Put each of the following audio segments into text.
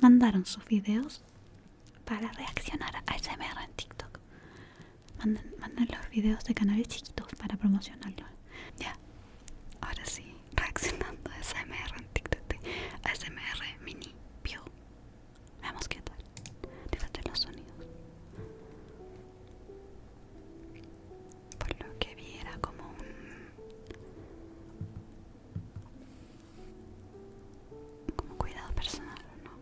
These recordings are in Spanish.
Mandaron sus videos para reaccionar a SMR en TikTok. Mandan, los videos de canales chiquitos para promocionarlos. Ya, ahora sí, reaccionando a SMR en TikTok. SMR Mini View. Veamos qué tal. Fíjate los sonidos por lo que vi era como un como cuidado personal, ¿no?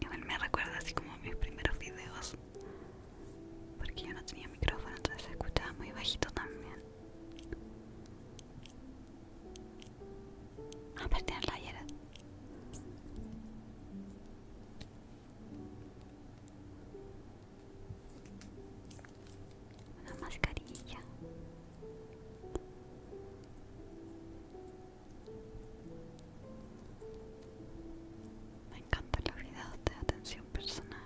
Igual me recuerda así como mis primeros videos porque yo no tenía micrófono entonces se escuchaba muy bajito también Aperte ayer Una mascarilla. Me encanta la videos de atención personal.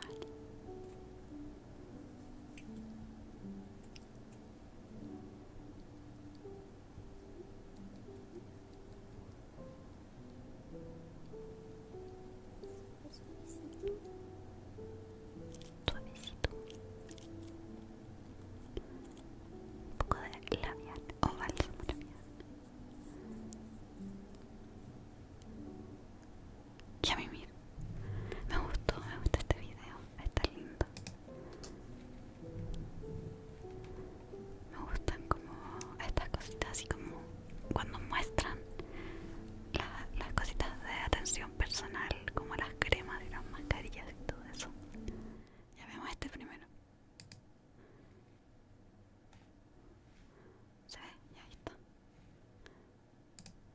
Suavecito. Un poco de labial o oh, bálsamo labial. Ya Me gustó, me gusta este video. Está lindo. Me gustan como estas cositas así como cuando muestran las cositas de atención personal, como las cremas y las mascarillas y todo eso. Ya vemos este primero. ¿Se ve? Ya está.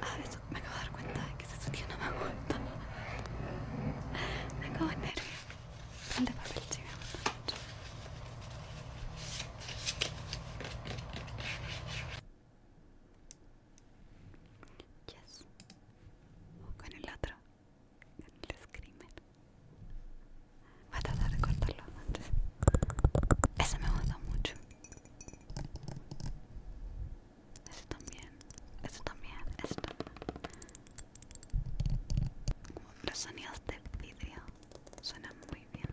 Ah, eso, me acabo de dar cuenta de que ese sonido no me gusta. Me acabo de nervios. El de papel sí me mucho. Yes. con el otro, con el screamer. Voy a tratar de cortarlo antes. Ese me gusta mucho. Ese también, ese también, ese Como los sonidos de vídeo suena muy bien.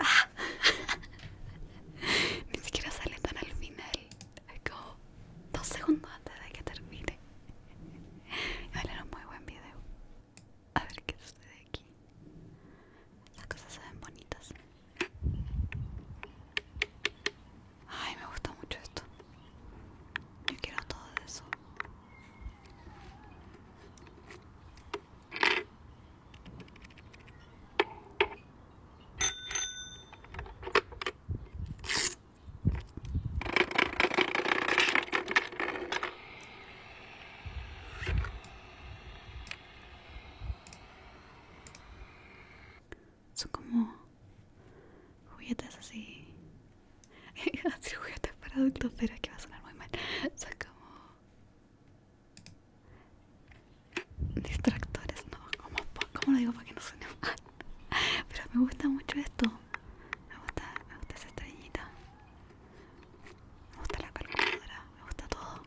Ah. Ni siquiera sale tan al final. Como dos segundos antes de que termine. un muy buen video. A ver qué de aquí. Las cosas se ven bonitas. Ay, me gusta mucho esto. Yo quiero todo eso. Son como juguetes así. así juguetes para adultos, pero es que va a sonar muy mal. Son como distractores, no, ¿Cómo, lo digo para que no suene mal? pero me gusta mucho esto. me gusta esa estrellita. Me gusta la calculadora, me gusta todo.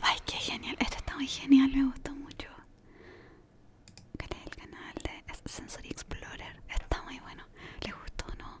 Ay, qué genial, esto está muy genial, me gustó mucho. es el canal de Sensory Explorer, está muy bueno. ¿Les gustó o no?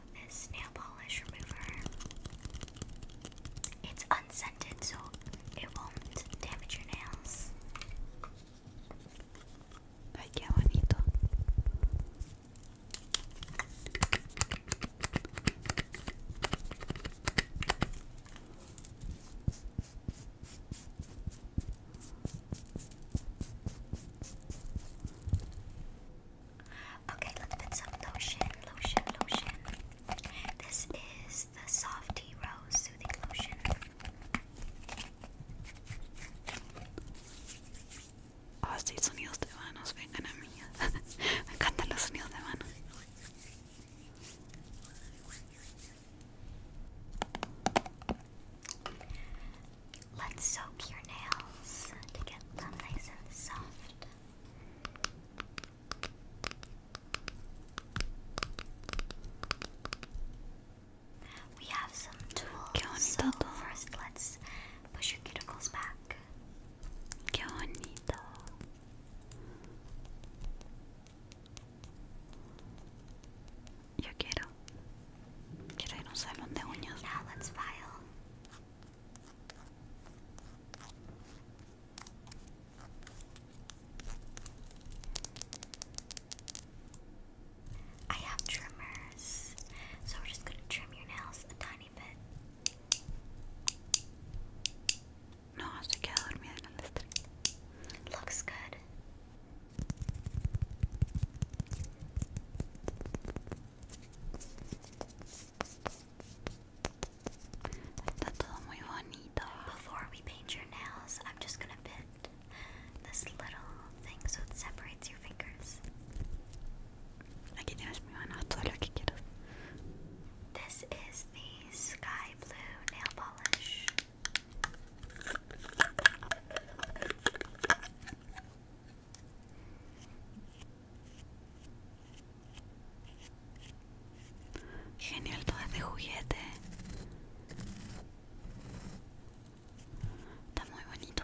grab this nail polish remover. It's unscented, so it won't damage your nails. Ay, qué Okay, let's put some lotion, lotion, lotion. This is the Softy Rose Soothing Lotion. Oh, sí, sonidos de manos, vengan a mí. Me encantan los sonidos de manos. Let's soak your nails to get them nice and soft. We have some tools. So first, let's push your cuticles back. Qué bonito. Yo quiero. Quiero ir a un salón de uñas. Now let's file. I have trimmers, so we're just gonna trim your nails a tiny bit. No, hasta queda dormida en Looks good. Before we paint your nails, I'm just gonna bend this little thing so it separates your fingers. Aquí tienes mi mano, todo lo que quieras. This is the sky blue nail polish. Genial todo este juguete. Está muy bonito.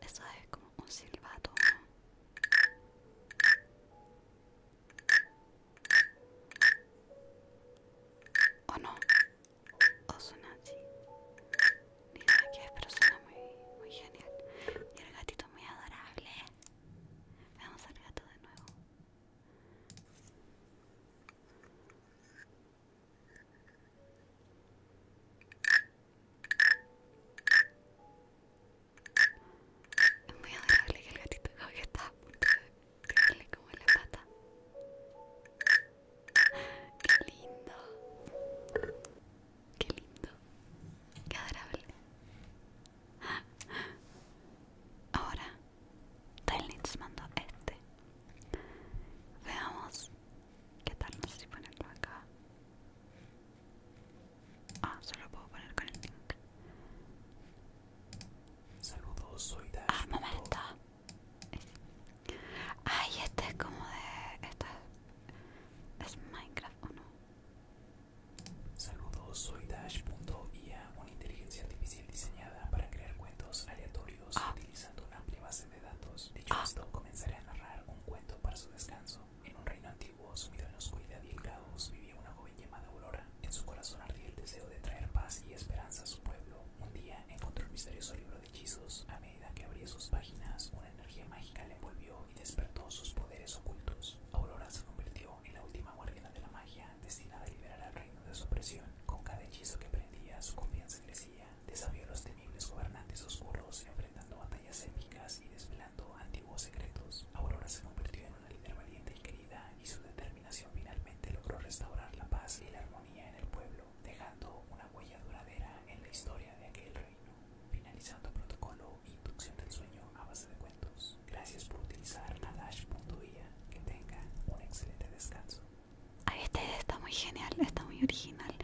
Eso es como un silbato. ¿no? ¿O no? ¿O suena así? Ni sé que es, pero suena muy, muy genial. Y el gatito es muy adorable. Veamos al gato de nuevo. Es a dejarle que el gatito cómo que está a punto de la pata. ¡Qué lindo! ¡Qué lindo! ¡Qué adorable! Ahora, Tailnitz manda este Veamos. ¿Qué tal? No sé si ponerlo acá. Ah, solo puedo poner con el link. Ah, Saludos, soy Dash. Ah, momento. Ay, este es como de. Esto es. Minecraft o no? Saludos, soy Dash.ia, una inteligencia artificial diseñada para crear cuentos aleatorios ah. utilizando una amplia de datos, dicho ah. esto, comenzaré a narrar un cuento para su descanso. En un reino antiguo, sumido en oscuridad y el caos, vivía una joven llamada Aurora. En su corazón ardía el deseo de traer paz y esperanza a su pueblo. Un día encontró un misterioso libro de hechizos. A medida que abría sus páginas, una energía mágica le envolvió y despertó sus poderes ocultos. Aurora se convirtió en la última guardiana de la magia, destinada a liberar al reino de su opresión. Con cada hechizo que prendía, su confianza crecía desafió a los temibles gobernantes oscuros, enfrentando batallas épicas y desvelando antiguos secretos. Aurora se convirtió en una líder valiente y querida, y su determinación finalmente logró restaurar la paz y la armonía en el pueblo, dejando una huella duradera en la historia de aquel reino. Finalizando protocolo inducción del sueño a base de cuentos. Gracias por utilizar Adash.ia. Que tenga un excelente descanso. Ay, este está muy genial, está muy original.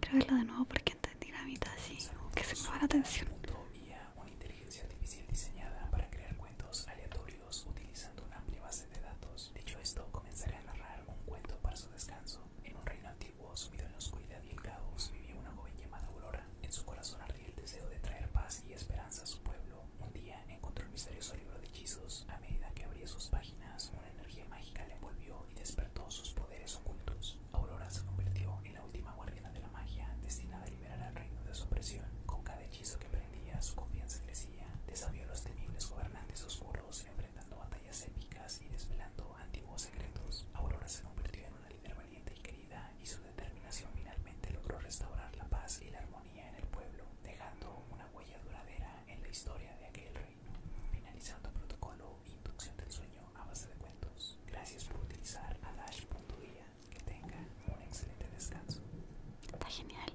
Creo verlo de nuevo porque entendí la mitad así, que se me va la atención. Vía una inteligencia artificial diseñada para crear cuentos aleatorios utilizando una amplia base de datos. Dicho esto, comenzaré a narrar un cuento para su descanso. En un reino antiguo, sumido en la oscuridad y el caos, vivía una joven llamada Aurora. En su corazón ardía el deseo de traer paz y esperanza a su pueblo. Un día encontró un misterioso libro de hechizos. A medida que abría sus páginas, la energía mágica le envolvió y despertó sus poderes ocultos. Aurora se convirtió en la última guardiana de la magia, destinada a liberar al reino de su opresión. Con cada hechizo que prendía, su confianza crecía. Desafió a los temibles gobernantes oscuros, enfrentando batallas épicas y desvelando antiguos secretos. Aurora se convirtió en una líder valiente y querida, y su determinación finalmente logró restaurar la paz y la armonía en el pueblo, dejando una huella duradera en la historia de aquel reino. Finalizando protocolo inducción del sueño a base de cuentos. Gracias por utilizar a Que tenga un excelente descanso. Está genial.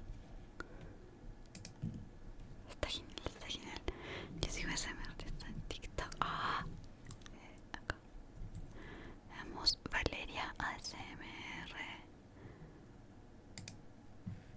Está genial, está genial. Yo sigo ASMR Está en TikTok. Ah, eh, acá. Valeria ASMR.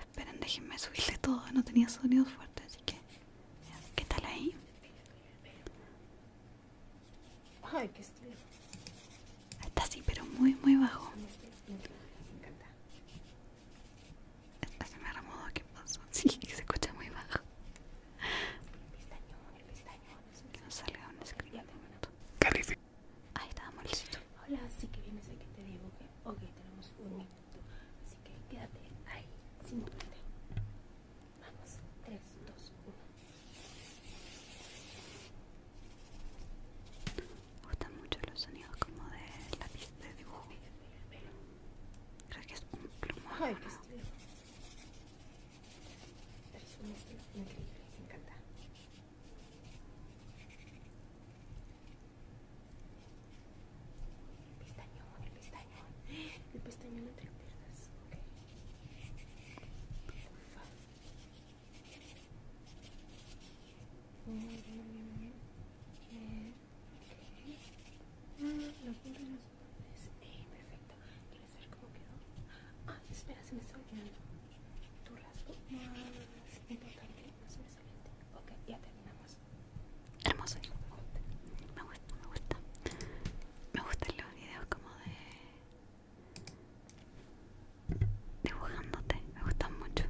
Esperen, déjenme subirle todo, no tenía sonidos fuertes, así que... ¿Qué tal ahí? Ay, qué estilo. Está así, pero muy, muy bajo. Este me encanta. Este se me remodo, ¿qué pasó? Pues, sí, se escucha muy bajo. El pestañón, el pestañón. Que no salga un screen de momento. Ahí está, amorcito. Hola, sí que vienes aquí, te digo que... Ok, tenemos un Así que quédate ahí sin moverte. Vamos, 3, 2, 1. Me gustan mucho los sonidos como de lápiz de dibujo. Creo que es un plumaje. Ay, Es un estilo increíble, me encanta. El pestañón, el pestañón. El pestañón entre piernas. Okay. Ufa. Ah, los eh, perfecto. ¿Quieres ver cómo quedó? Ah, espera, se me está olvidando. Tu rasgo más importante, más salió Ok, ya terminamos hermoso Me gusta, me gusta. Me gustan los videos como de dibujándote, me gustan mucho.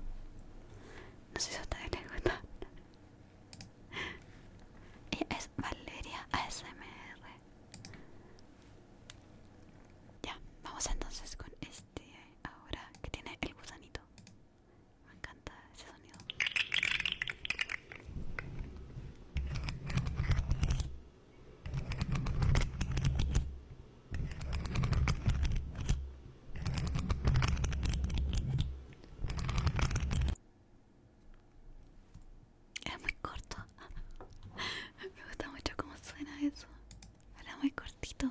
No sé si a ustedes les gusta Ella es Valeria ASMR. Ya, vamos entonces con este ahora que tiene el gusanito. Me encanta ese sonido. Es muy corto. Me gusta mucho cómo suena eso. Era muy cortito.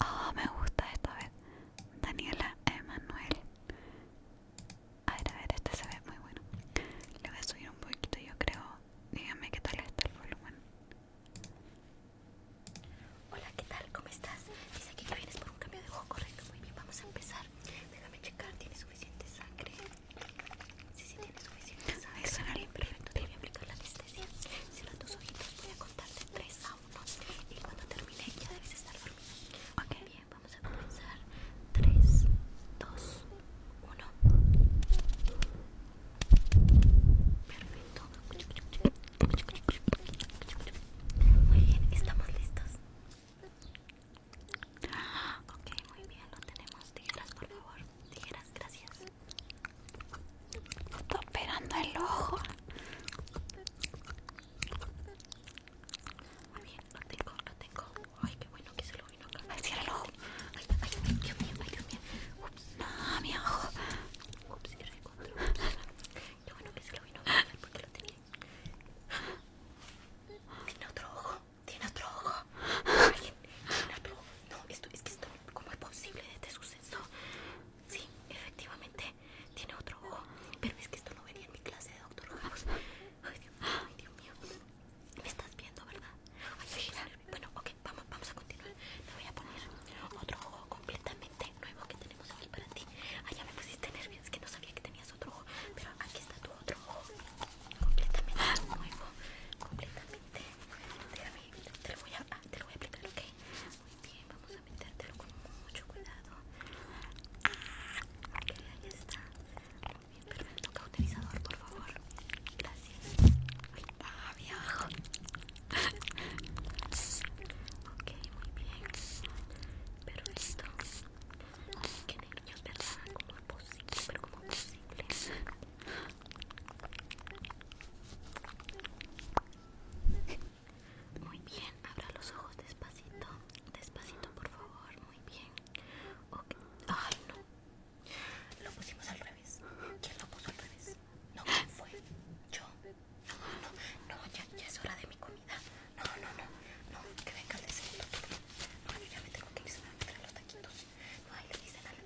Ah, oh, me gusta esta vez. Daniela Emanuel. A ver, a ver, este se ve muy bueno. Le voy a subir un poquito, yo creo. Dígame qué tal está el volumen. Hola, ¿qué tal? ¿Cómo estás? Dice aquí que vienes por un cambio de ojo, correcto. Muy bien, vamos a empezar. Déjame checar, ¿tiene suficiente sangre? Sí, sí, tiene suficiente sangre. Muy bien, perfecto. Te voy a aplicar la si los tus ojitos, voy a contarte 3 a 1 y cuando termine ya debes estar dormido. Ok, bien, vamos a comenzar. 3, 2, 1. Perfecto. Muy bien, estamos listos. Ok, muy bien, lo tenemos. Tijeras, por favor. Tijeras, gracias. Está operando el ojo. Muy bien, lo tengo, lo tengo. Ay, qué bueno que se lo vino acá. Ay, cierra el ojo. Ay, ay, ay, Dios mío, ay, Dios mío. Ups, no, mi ojo. Ups, y control Qué bueno que se lo vino acá porque lo tenía. Tiene otro ojo, tiene otro ojo. Ay, tiene otro ojo. No, esto es que está ¿Cómo es posible este suceso? Sí, efectivamente tiene otro ojo, pero es que esto no venía en mi clase de Doctor Ay, Dios, mío. Me estás viendo, ¿verdad? Bueno, ok, vamos, vamos a continuar. Te voy a poner otro ojo completamente nuevo que tenemos aquí para ti. Ay, ah, ya me pusiste nervios, es que no sabía que tenías otro ojo, pero aquí está tu otro ojo. Completamente nuevo, completamente te lo voy a, ah, te voy a aplicar, ok. Muy bien, vamos a metértelo con mucho cuidado. Ah, ok, ahí está. Muy bien, perfecto. Cauterizador, por favor. Gracias. Ay, abajo. ok, muy bien. pero Qué nervios, ¿verdad? ¿Cómo es posible? Pero como es posible? Muy bien, abra los ojos despacito, despacito por favor, muy bien. Ok, Ay, no. Lo pusimos al revés. ¿Quién lo puso al revés? No, ¿quién fue? Yo. No, no, no, ya, es hora de mi comida. No, no, no, no, que venga el de segundo No, yo ya me tengo que ir a meter los taquitos. No, ahí le dicen al,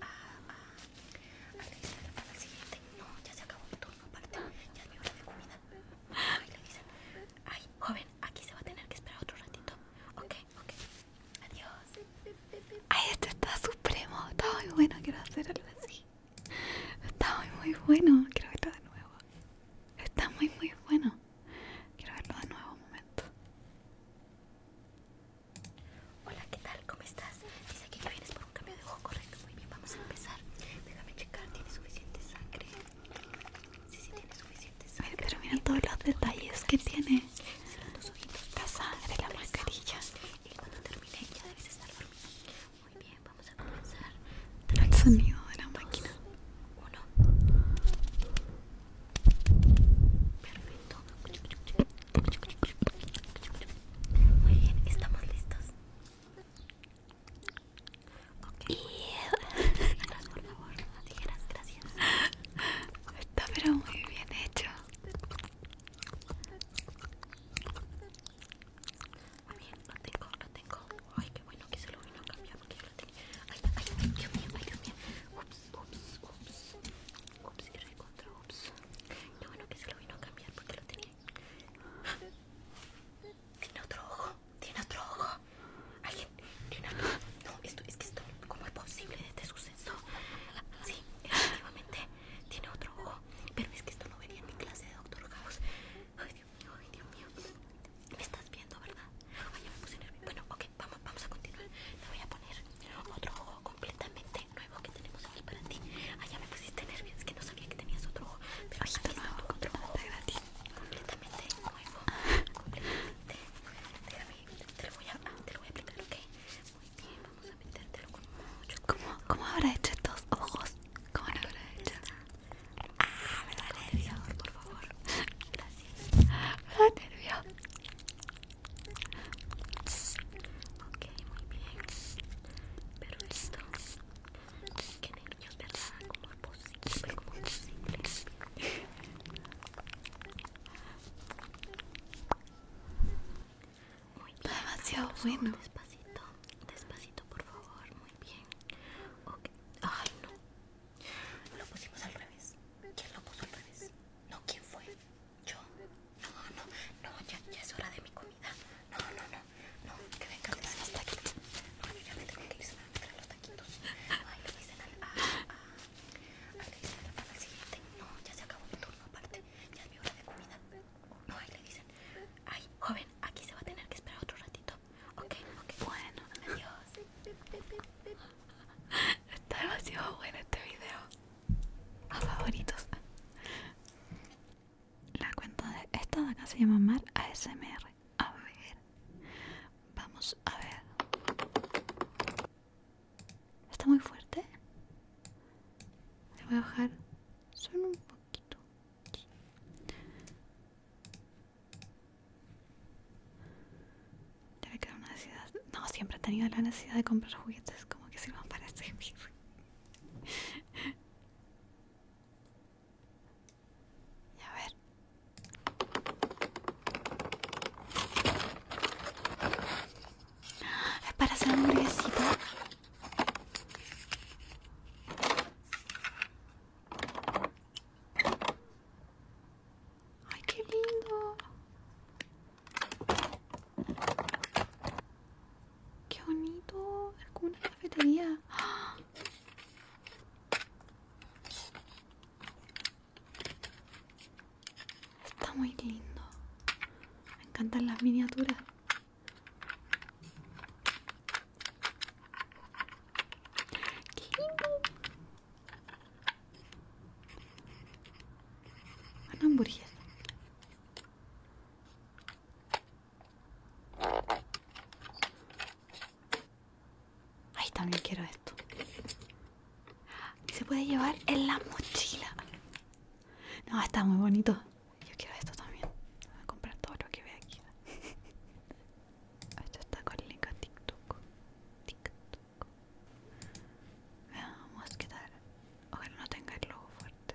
Ay, joven, aquí se va a tener que esperar otro ratito. Ok, ok, adiós. Ay, este está supremo, está muy bueno, quiero hacer algo así. Está muy, muy bueno, quiero verlo de nuevo. Está muy, muy bueno. Quiero verlo de nuevo un momento. Hola, ¿qué tal? ¿Cómo estás? Dice que ya vienes por un cambio de ojo, correcto. Muy bien, vamos a empezar. Déjame checar, ¿tiene suficiente sangre? Sí, sí, tiene suficiente sangre. Pero, pero mira todos los detalles que tiene. Sí, dos ojitos. La sangre, la mascarilla. Y cuando termine ya debes estar dormido Muy bien, vamos a comenzar. Tres, el sonido de la máquina. Uno. Perfecto. Muy bien, estamos listos. Okay. por favor. gracias. Está pero muy bien hecho. Muy bien, lo tengo, lo tengo. Ay, qué bueno que se lo vino a cambiar porque lo tengo. Ay, ay, Dios mío, ay, Dios mío. Ups, ups, ups. Ups, qué rico. No bueno que se lo vino a cambiar porque lo tenía. Tiene otro ojo, tiene otro ojo. Alguien, No, esto, es que esto, ¿cómo es posible este suceso? Sí, efectivamente, tiene otro ojo. Pero es que esto no vería en mi clase de Doctor House. Ay, Dios mío, ay, Dios mío. Me estás viendo, ¿verdad? Ay, me puse nervioso. Bueno, ok, vamos, vamos a continuar. Me voy a poner otro ojo completamente nuevo que tenemos aquí para ti. Ah, ya me pusiste nervios, es que no sabía que tenías otro ojo. Pero un nuevo, otro para gratis. Completamente nuevo. Ah. completamente. Déjame, te lo voy a, te lo voy a aplicar, ¿ok? Muy bien, vamos a pintártelo con mucho ¿Cómo, ¿Cómo habrá hecho estos ojos? ¿Cómo lo habrá hecho? Ah, me da nervio, por favor. Gracias. Me da nervio. Ok, muy bien. Pero esto, que ni ¿verdad? como es posible? como es posible? Muy Demasiado bueno. Despacito, despacito, por favor. Muy bien. Ay, no. Lo pusimos al revés. ¿Quién lo puso al revés? No, ¿quién fue? Yo, no, no, no, ya, ya es hora de mi comida. No, no, no, no, que vengan de los taquitos. No, yo ya me tengo que ir, se me van a los taquitos. Ay, le dicen al, a, ah, a, ah, al que dicen al, siguiente. No, ya se acabó mi turno aparte, ya es mi hora de comida. No, ahí le dicen, ay, joven, aquí se va a tener que esperar otro ratito. Ok, ok, bueno, adiós. Está demasiado bueno este video a favoritos. La cuenta de esta de acá se llama Mar ASMR. A ver, vamos a ver. Está muy fuerte. Le voy a bajar solo un poquito. Debe quedar una necesidad. No, siempre he tenido la necesidad de comprar juguetes como que sirvan para este A ver. Es para hacer un hamburguesita. ¡Ay, qué lindo! Qué bonito, alguna cafetería. Está muy lindo. Me encantan las miniaturas. ¡Qué lindo! Ay, también quiero esto. se puede llevar en la mochila. No, está muy bonito. Yo quiero esto también. Voy a comprar todo lo que ve aquí. Esto está con el link a TikTok. TikTok. Vamos a quedar. Ojalá no tenga el logo fuerte.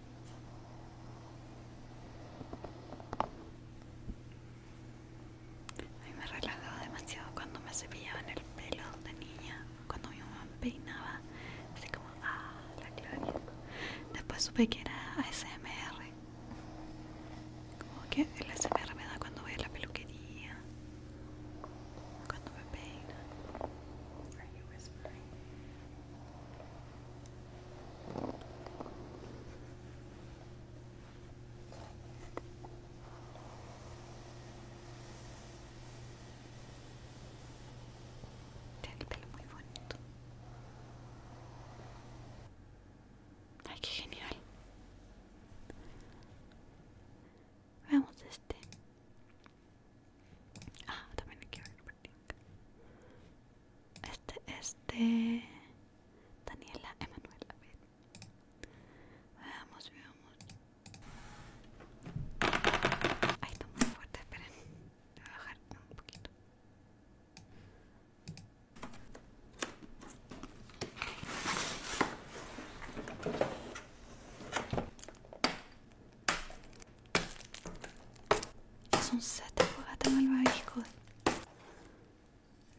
A mí me relajaba demasiado cuando me cepillaban el pelo de niña, cuando mi mamá peinaba, así como, ah, la Después supe que era ASMR. Como que el ASMR me da cuando voy a la peluquería, cuando me peina. Tiene el pelo muy bonito. Ay, qué genial. Veamos este. Ah, también hay que ver. Este es de Daniela Emanuela. Veamos, veamos. Ay, está muy fuerte, esperen. Voy a bajar un poquito. Es un set el malvavisco.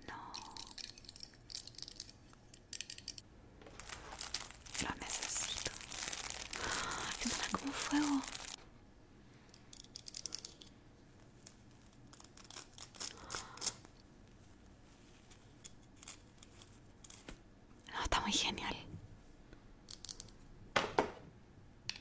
No. Lo necesito. Que Suena como fuego. No, está muy genial.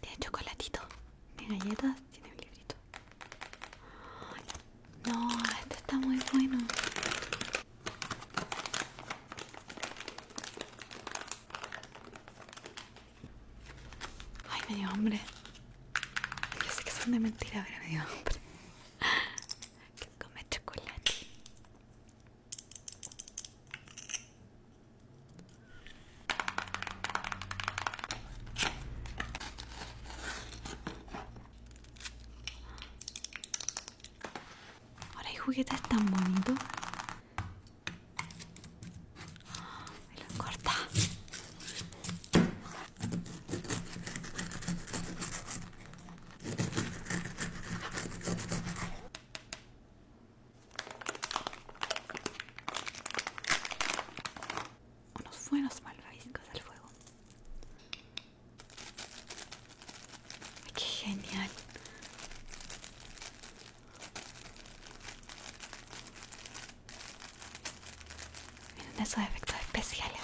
Tiene chocolatito. Tiene galletas. Tiene un librito. no, este está muy bueno. Ay, medio hombre hambre. Yo sé que son de mentira, pero me dio hambre. Quiero comer chocolate. Ahora hay juguetes tan bonito? Me lo corta. Unos buenos malvaviscos al fuego. ¡Qué genial! Miren esos efectos especiales.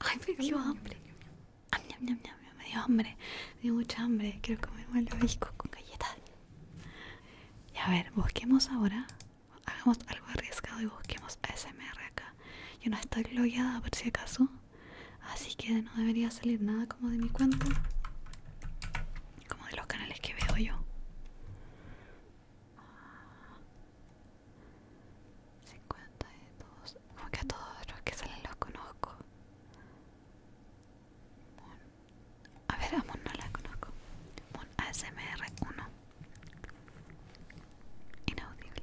Ay, me dio hambre. me dio hambre. Me dio mucha hambre. Quiero comer los con galletas. Y a ver, busquemos ahora. Hagamos algo arriesgado y busquemos ASMR acá. Yo no estoy logueada por si acaso así que no debería salir nada como de mi cuenta como de los canales que veo yo 50 de como que a todos los que salen los conozco a ver a no la conozco Moon ASMR1 inaudible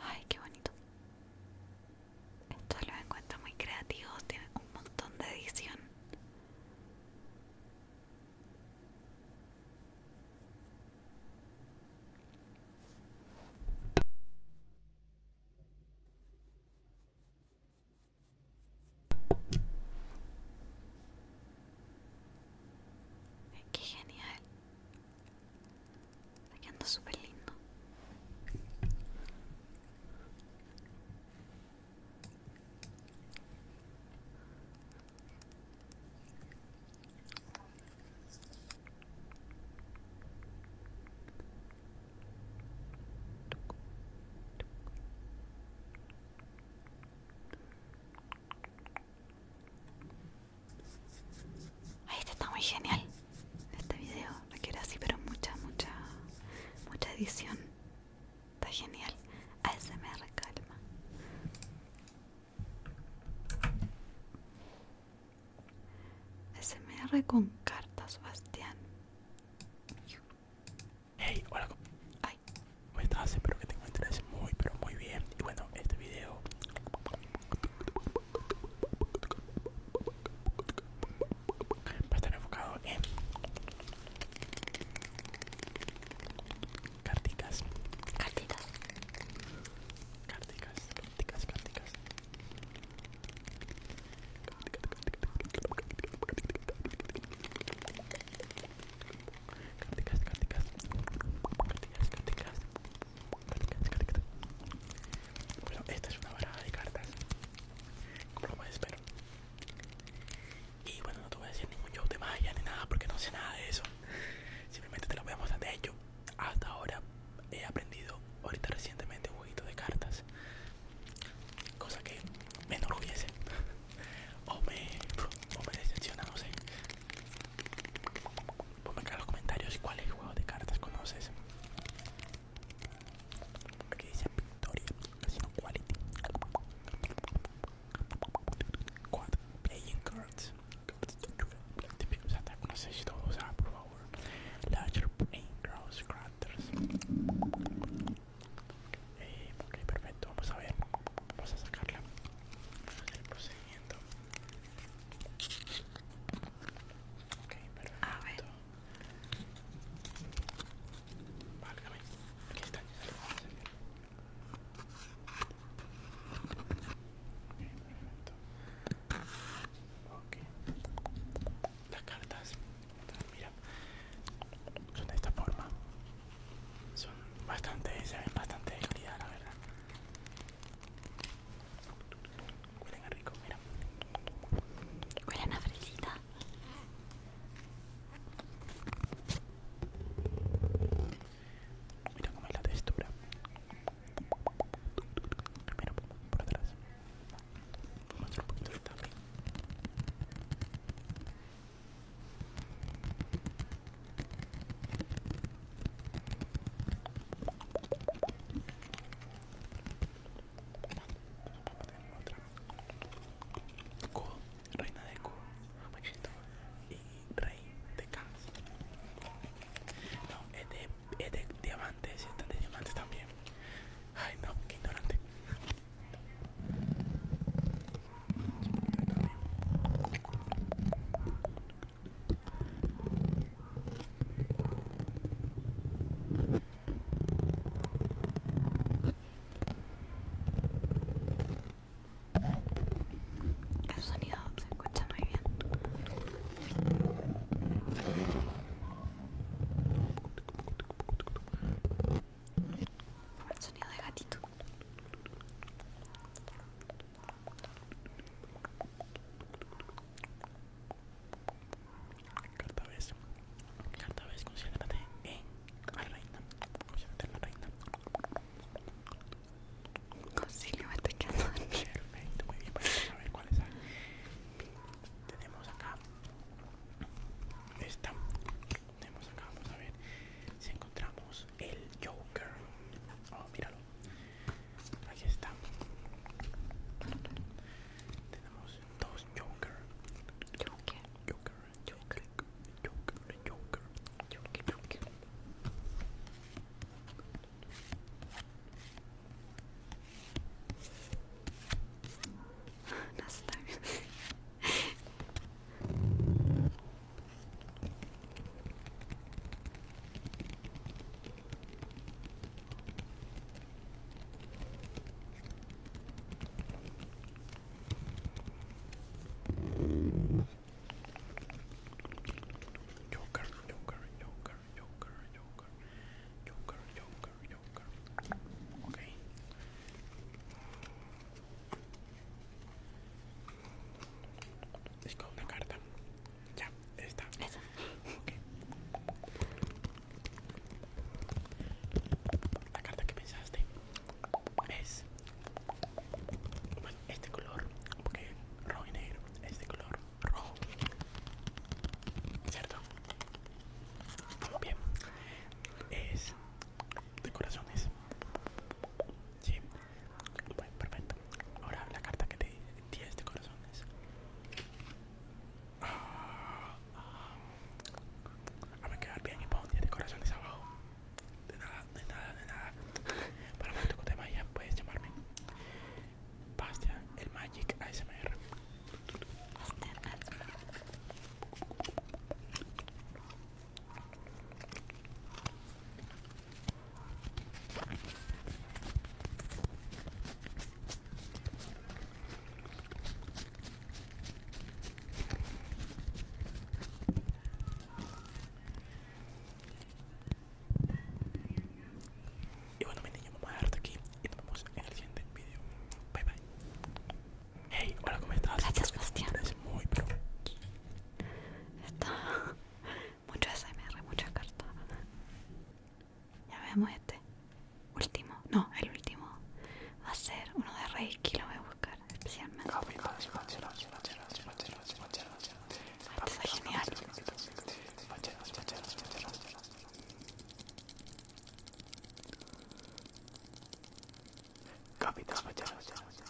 Ay, qué bonito. Esto los encuentro muy creativo tienen un montón de edición. Qué genial. Está quedando súper lindo. Ay, este está muy genial. Este video requiere así, pero mucha, mucha, mucha edición. Está genial. ASMR calma. ASMR con cartas, Bastián. Hey, hola, Ay. ¿cómo estás? Espero que tengo encuentres muy, pero muy bien. Y bueno, este video va a estar enfocado en Cárticas. Cárticas. Cárticas, cárticas, carticas. Cárticas, cárticas. Cárticas, cárticas. Cárticas, cárticas. Bueno, esta es una baraja de cartas. Como lo puedes ver. Y bueno, no te voy a decir ningún show de magia ni nada porque no sé nada de eso. Simplemente te lo voy a mostrar. De hecho, hasta ahora he aprendido ahorita recientemente un jueguito de cartas. Cosa que me enorgullece o me, decepciona, no eh. sé. Ponme acá en los comentarios cuál juego de cartas conoces. Aquí dice Victoria, Casino Quality. Cuatro, Playing Cards. O sea, te conoces todo, o sea, por favor. Larger Pain, Grounds Crafters. Eh, ok, perfecto, vamos a ver, vamos a sacarla, vamos a hacer el procedimiento. Ok, perfecto. A Válgame, aquí está, Ok, perfecto. Las cartas, mira, son de esta forma. Son bastante, se ven bastante de calidad, la verdad. Huelen a rico, mira. Huelen a fresita. Mira cómo es la textura. primero por atrás. Vamos a un poquito de reina de Q, y rey de K. No, es de, es de diamantes, están de diamantes también. Ay, no, qué ignorante. El sonido se escucha muy bien el Sonido de gatito. Carta vez. Carta vez, en la reina. la reina. muy bien. Pues, a ver cuál es. Tenemos acá esta tenemos acá? Vamos a ver si encontramos el Joker. Oh, míralo. Aquí está. Tenemos dos Joker. Joker. Joker. Joker. Joker. Joker. Joker. Joker. Joker, Joker, Joker, Joker, Joker, Joker, Joker, Joker. Okay. Disco una carta. Ya, esta La carta que pensaste es este color, porque rojo y negro, este color rojo, ¿cierto? Muy bien, es de corazones, Sí. Bueno, perfecto. Ahora la carta que te di, 10 de este corazones. Ah, ah, a me quedar bien y pongo 10 de corazones abajo. De nada, de nada, de nada. Para momento que te vaya puedes llamarme. Bastia, el Magic ASMR. Y bueno, mi niño, vamos a aquí y nos vemos en el siguiente video. Bye bye. Hey, hola, ¿cómo estás? Gracias, Bastián. Es muy Está mucho SMR, mucha carta. Ya vemos este último, no, el último va a ser uno de Reiki, lo voy a buscar especialmente. Está genial.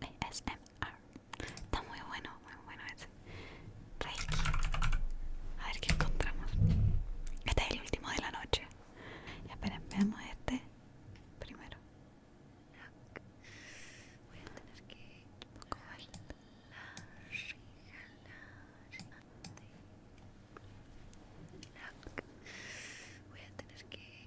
ASMR. Está muy bueno, muy bueno ese. A ver qué encontramos. Este es el último de la noche. Y esperen, veamos este primero. Voy a tener que Voy a tener que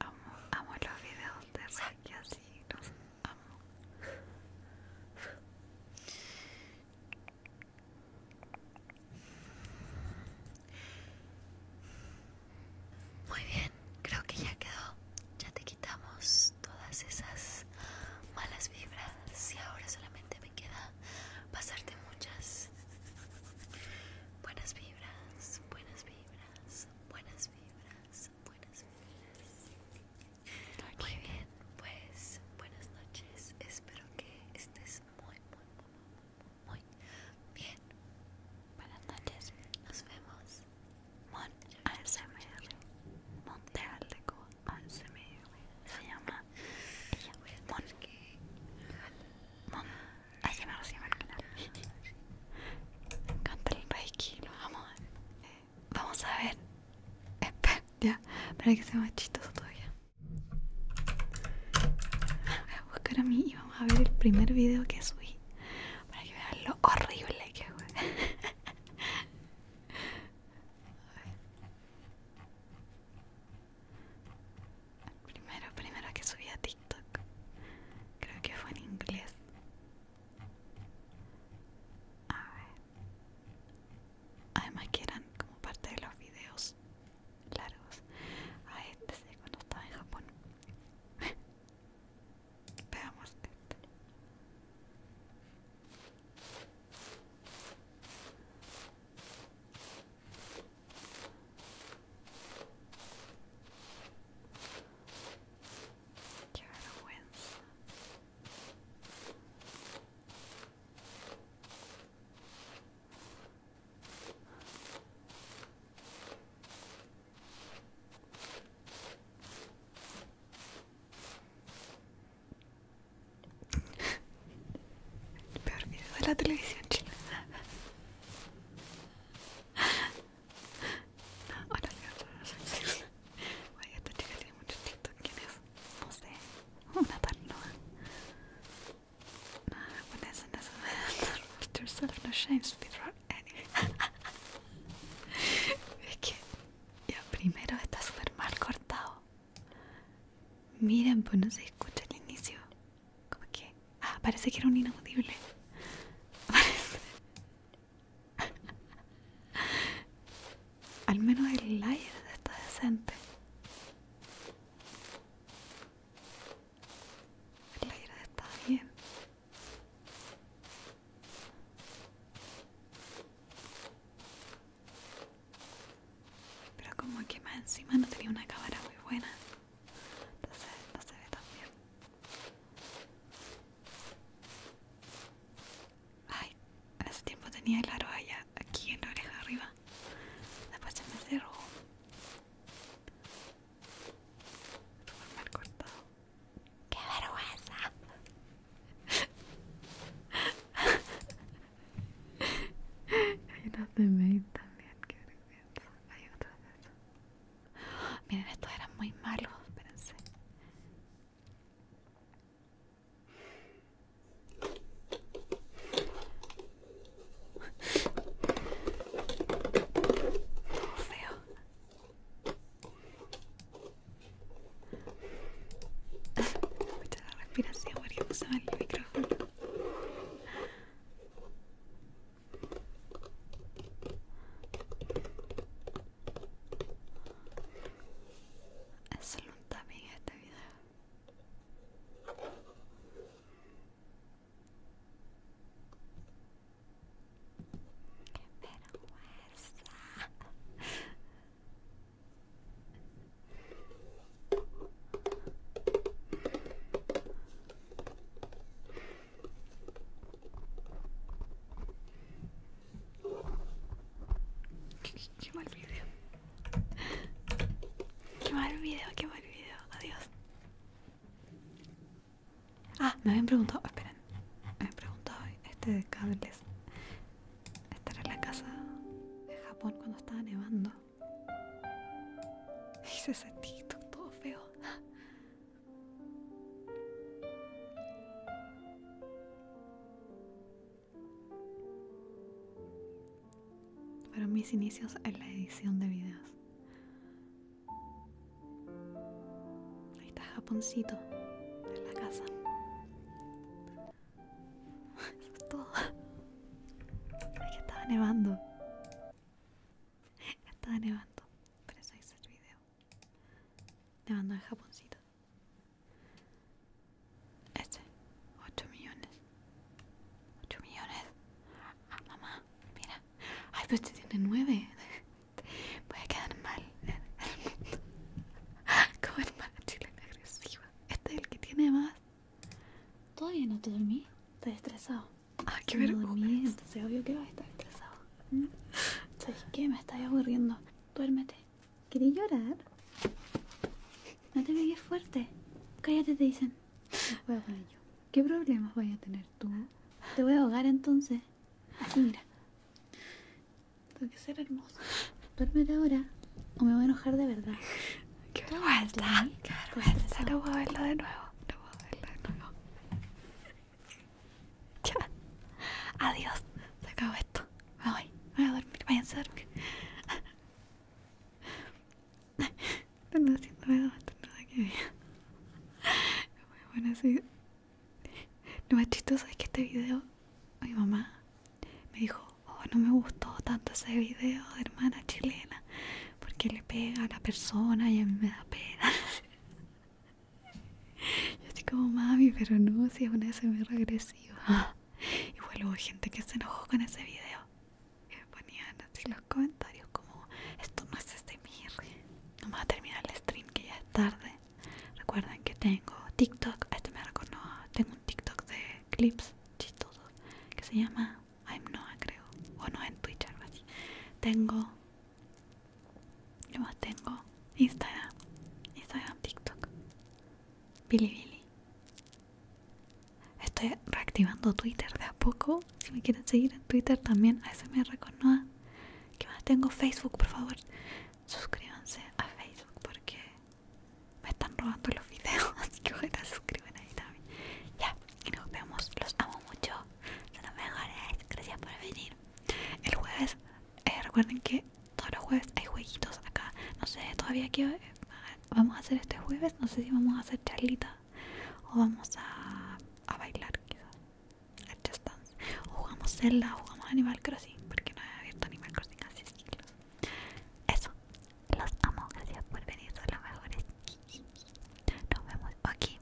Amo, los videos de Saki así, los amo. Muy bien, creo que ya quedó. Ya te quitamos todas esas malas vibras y ahora solamente me queda pasarte muchas buenas vibras buenas vibras, buenas vibras, buenas vibras. Muy bien, pues buenas noches. Espero que estés muy, muy, muy, muy bien. Buenas noches. Nos vemos. Mon ASMR. Montealdeco ASMR. Se llama. Ella, Mon. Mon. Ay, que me el el imaginar. Me encanta el Reiki, lo amo. Eh, vamos a ver. Espera, ya, para que sea más chistoso todavía. Voy a buscar a mí y vamos a ver el primer video que subí. Para que vean lo horrible que fue. A ver primero, primero que subí a TikTok, creo que fue en inglés. A ver. Además que eran como parte de los videos largos. A este cuando estaba en Japón. Veamos este. Qué vergüenza. El de la televisión china Ahora voy chica tiene mucho ¿Quién es? No sé. Una No, yourself no es que. Ya, primero está súper mal cortado. Miren, pues no se escucha el inicio. Como que? Ah, parece que era un inaudible. Al menos el aire está decente. El aire está bien. Pero como que más encima no tenía una cámara muy buena se no se ve tan bien. Ay, hace tiempo tenía el aro aquí en la oreja arriba. Después se me cerró. mal cortado. ¡Qué vergüenza! Hay de maid también, qué vergüenza. Hay otra de Miren, estos eran muy malos, espérense. Feo. Escucha la respiración porque usaba el micrófono. Es un también este video. ¡Qué vergüenza! Qué, mal video. Qué mal video, qué mal video. Adiós. Ah, me habían preguntado, esperen, me habían preguntado este de cables. estar en la casa de Japón cuando estaba nevando. Hice ese TikTok todo feo. Fueron mis inicios en la edición de videos. Ahí está Japoncito en la casa. Eso todo. estaba nevando. Estaba nevando, por eso hice el video. Nevando en Japoncito. Este, 8 millones. 8 millones. Ah, mamá, mira. Ay, pero pues este tiene 9. Voy a quedar mal en el mundo. Como agresivo. agresiva. Este es el que tiene más. Todavía no te dormí. Estoy estresado. Ay qué vergüenza. Se sea, obvio que vas a estar estresado. Mm. ¿Sabes qué? Me está aburriendo. Duérmete. ¿Querés llorar? No te veas fuerte. Cállate, te dicen. Voy a ¿Qué problemas voy a tener tú? Te voy a ahogar entonces. Así, mira. Tengo que ser hermoso. Duérmete ahora o me voy a enojar de verdad. ¡Qué vergüenza! ¡Qué vergüenza! No a verlo de nuevo. Adiós. Se acabó esto. Me voy. voy a dormir. Váyanse a dormir. Están haciéndome no nada que ver. Bueno, así. Lo más chistoso es que este video, mi mamá me dijo, oh, no me gustó tanto ese video de hermana chilena porque le pega a la persona y a mí me da pena. Yo estoy como mami, pero no, si es una SMR agresiva. Igual hubo gente que se enojó con ese video. Y ponían así los comentarios como, esto no es SMR. Vamos a terminar el stream que ya es tarde. Recuerden que tengo TikTok, este me reconoce, tengo un TikTok de clips chistosos que se llama I'm no creo, o no en Twitch algo así. Tengo, yo más tengo? Instagram, Instagram, TikTok, Bilibili. Estoy reactivando Twitter de a poco. Si me quieren seguir en Twitter también, ASMR con Noah. ¿Qué más tengo? Facebook, por favor, suscríbanse a Facebook porque me están robando los videos. Así que ojalá se suscriban ahí también. Ya, y nos vemos. Los amo mucho. Son los mejores. Gracias por venir. El jueves, eh, recuerden que todos los jueves hay jueguitos acá. No sé todavía qué vamos a hacer este jueves. No sé si vamos a hacer charlita o vamos a, a bailar quizás. A just dance. O jugamos Zelda, jugamos Animal Crossing. Porque no he abierto Animal Crossing hace siglos. Eso. Los amo. Gracias por venir. Son los mejores. Nos vemos aquí